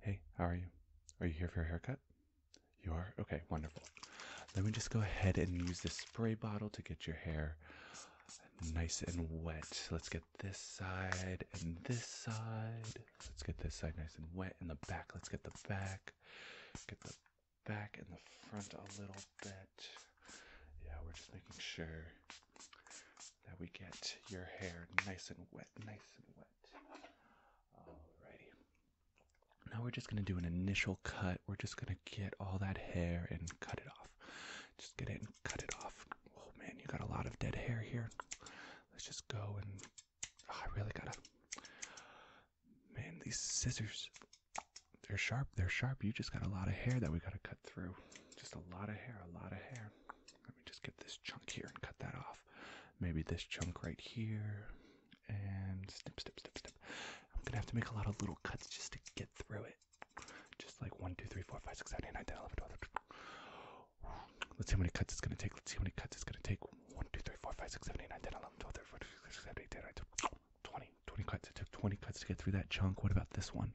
Hey, how are you? Are you here for a haircut? You are? Okay, wonderful. Let me just go ahead and use this spray bottle to get your hair nice and wet. Let's get this side and this side. Let's get this side nice and wet. And the back, let's get the back. Get the back and the front a little bit. Yeah, we're just making sure that we get your hair nice and wet, nice and wet wet. Alrighty. Now we're just gonna do an initial cut. We're just gonna get all that hair and cut it off. Just get it and cut it off. Oh man, you got a lot of dead hair here. Let's just go and ah, I really gotta. Man, these scissors, they're sharp. They're sharp. You just got a lot of hair that we gotta cut through. Just a lot of hair. A lot of hair let me just get this chunk here and cut that off. Maybe this chunk right here. And snip, snip, snip, snip. I'm going to have to make a lot of little cuts just to get through it. Just like 1, us see how many cuts it's going to take. Let's see how many cuts it's going to take. 1, 2, 3, 4, 5, 6, 7, 8, 9, 10, 11, 12, 13, 14, 15, 16, 17, 18, 19, 20. 20 cuts. It took 20 cuts to get through that chunk. What about this 1,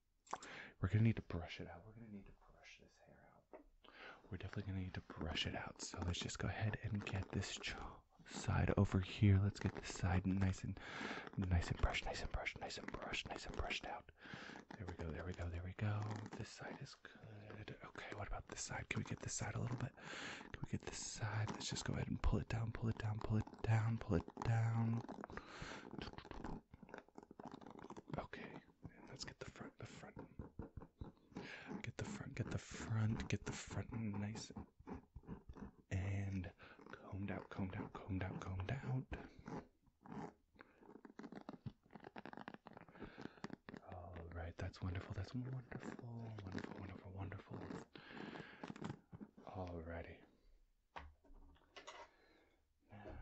We're gonna need to brush it out. We're gonna need to brush this hair out. We're definitely gonna need to brush it out. So let's just go ahead and get this side over here. Let's get this side nice and nice and brushed, nice and brush, nice and brushed, nice and brushed out. There we go, there we go, there we go. This side is good. Okay, what about this side? Can we get this side a little bit? Can we get this side? Let's just go ahead and pull it down, pull it down, pull it it down, pull it down. Okay, let's get the front, the front. Get the front, get the front, get the front nice and combed out, combed out, combed out, combed out. All right, that's wonderful, that's wonderful, wonderful, wonderful, wonderful. Alrighty. Now,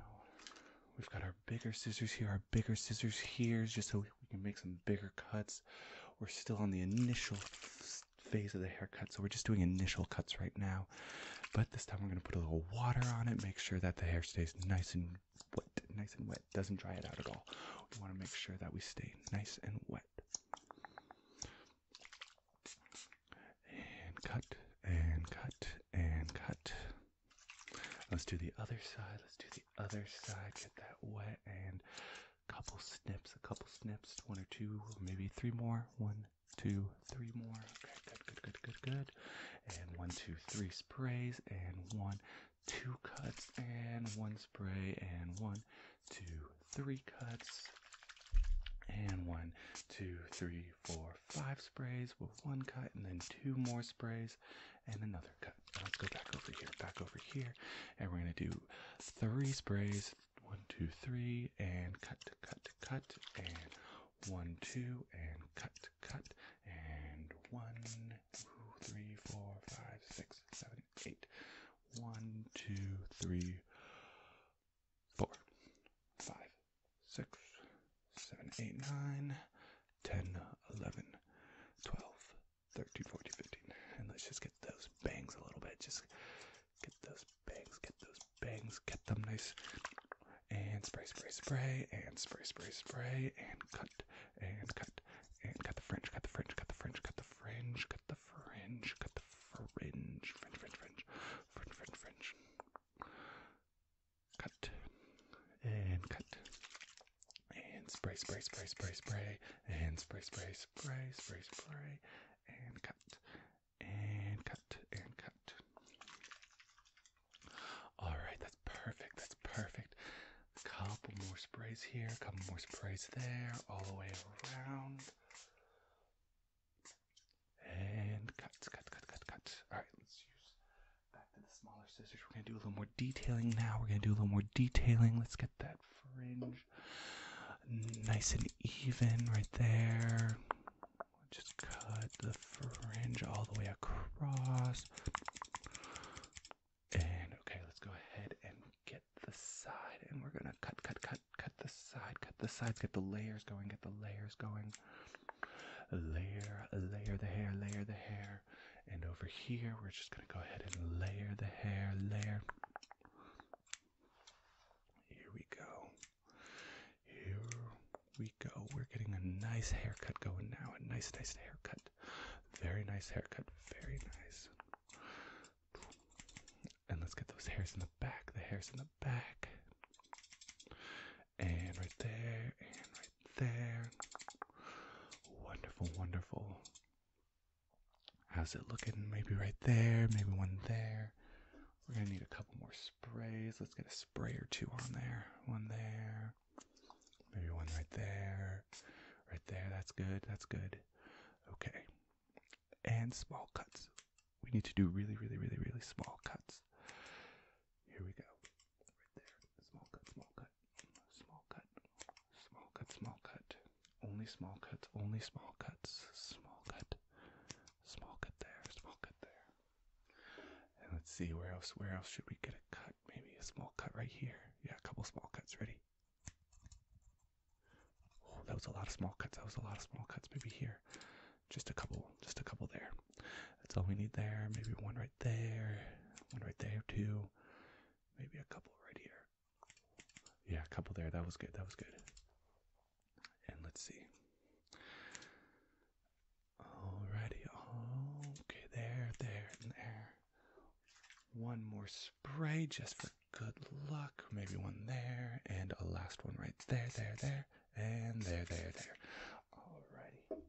we've got our bigger scissors here, our bigger scissors here, just so we can make some bigger cuts. We're still on the initial phase of the haircut, so we're just doing initial cuts right now. But this time we're gonna put a little water on it, make sure that the hair stays nice and wet, nice and wet, doesn't dry it out at all. We wanna make sure that we stay nice and wet. And cut and cut and cut. Let's do the other side. Let's do the other side. Get that wet and a couple snips, a couple snips, one or two, maybe three more. One, two, three more. Okay, good, good, good, good, good. And one, two, three sprays, and one, two cuts, and one spray, and one, two, three cuts. And one, two, three, four, five sprays with one cut, and then two more sprays and another cut. let's go back over here, back over here, and we're going to do three sprays one, two, three, and cut, cut, cut, and one, two, and cut, cut, and one, two, three, four, five, six, seven, eight. One, two, three, four, five, six, seven, eight, nine, 10, 11, 12, 13, 14, 15. And let's just get those bangs a little bit. Just get those bangs, get those bangs, get them nice. And spray, spray, spray, and spray, spray, spray, and cut, and cut, and cut the fringe, cut the fringe, cut the fringe, cut the fringe, cut the the fringe, cut the fringe, fringe, fringe, fringe, fringe, fringe, fringe. Cut and cut and spray, spray, spray, spray, spray, and spray, spray, spray, spray, spray, and cut and cut and cut. All right, that's perfect. That's perfect. Couple more sprays here, couple more sprays there, all the way around. And cut, cut, cut, cut, cut. All right, let's use back to the smaller scissors. We're going to do a little more detailing now. We're going to do a little more detailing. Let's get that fringe nice and even right there. Just cut the fringe all the way across. And okay, let's go ahead and get the side and we're gonna cut, cut, cut, cut the side, cut the sides, get the layers going, get the layers going. Layer, layer the hair, layer the hair. And over here, we're just gonna go ahead and layer the hair, layer. Here we go. Here we go. We're getting a nice haircut going now. A nice, nice haircut. Very nice haircut. Very nice. And let's get those hairs in the back, the hairs in the back. And right there, and right there. Wonderful, wonderful. How's it looking? Maybe right there, maybe one there. We're gonna need a couple more sprays. Let's get a spray or two on there. One there, maybe one right there, right there. That's good, that's good. Okay, and small cuts. We need to do really, really, really, really small cuts. Here we go. Right there. Small cut, small cut, small cut, small cut, small cut. Only small cuts, only small cuts, small cut, small cut there, small cut there. And let's see where else where else should we get a cut? Maybe a small cut right here. Yeah, a couple small cuts. Ready? Oh, that was a lot of small cuts. That was a lot of small cuts. Maybe here, just a couple, just a couple there. That's all we need there. Maybe one right there, one right there too. Maybe a couple right here. Yeah, a couple there. That was good. That was good. And let's see. Alrighty. Okay, there, there, there. One more spray just for good luck. Maybe one there and a last one right there, there, there, and there, there, there. Alrighty.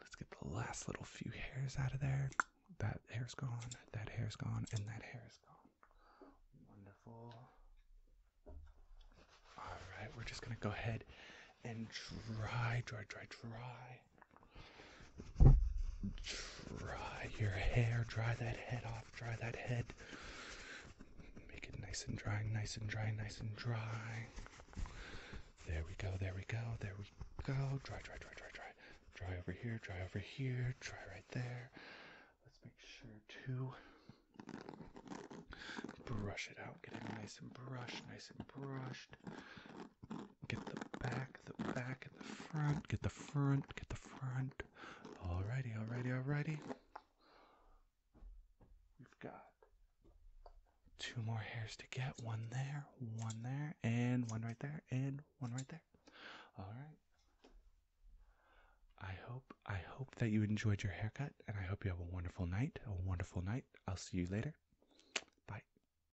Let's get the last little few hairs out of there. That hair's gone, that hair's gone, and that hair has gone. Wonderful. All right, we're just gonna go ahead and dry, dry, dry, dry Dry your hair, dry that head off, dry that head. Make it nice and dry, nice and dry, nice and dry. There we go, there we go, there we go. Dry, dry, dry, dry, dry. Dry over here, dry over here, dry right there. Let's make sure to brush it out, get it nice and brushed, nice and brushed. Get the back, the back, and the front. Get the front, get the front. All all righty, righty, all righty. We've got two more hairs to get. One there, one there, and one right there, and one right there. Alright. I hope I hope that you enjoyed your haircut and I hope you have a wonderful night. A wonderful night. I'll see you later. Bye.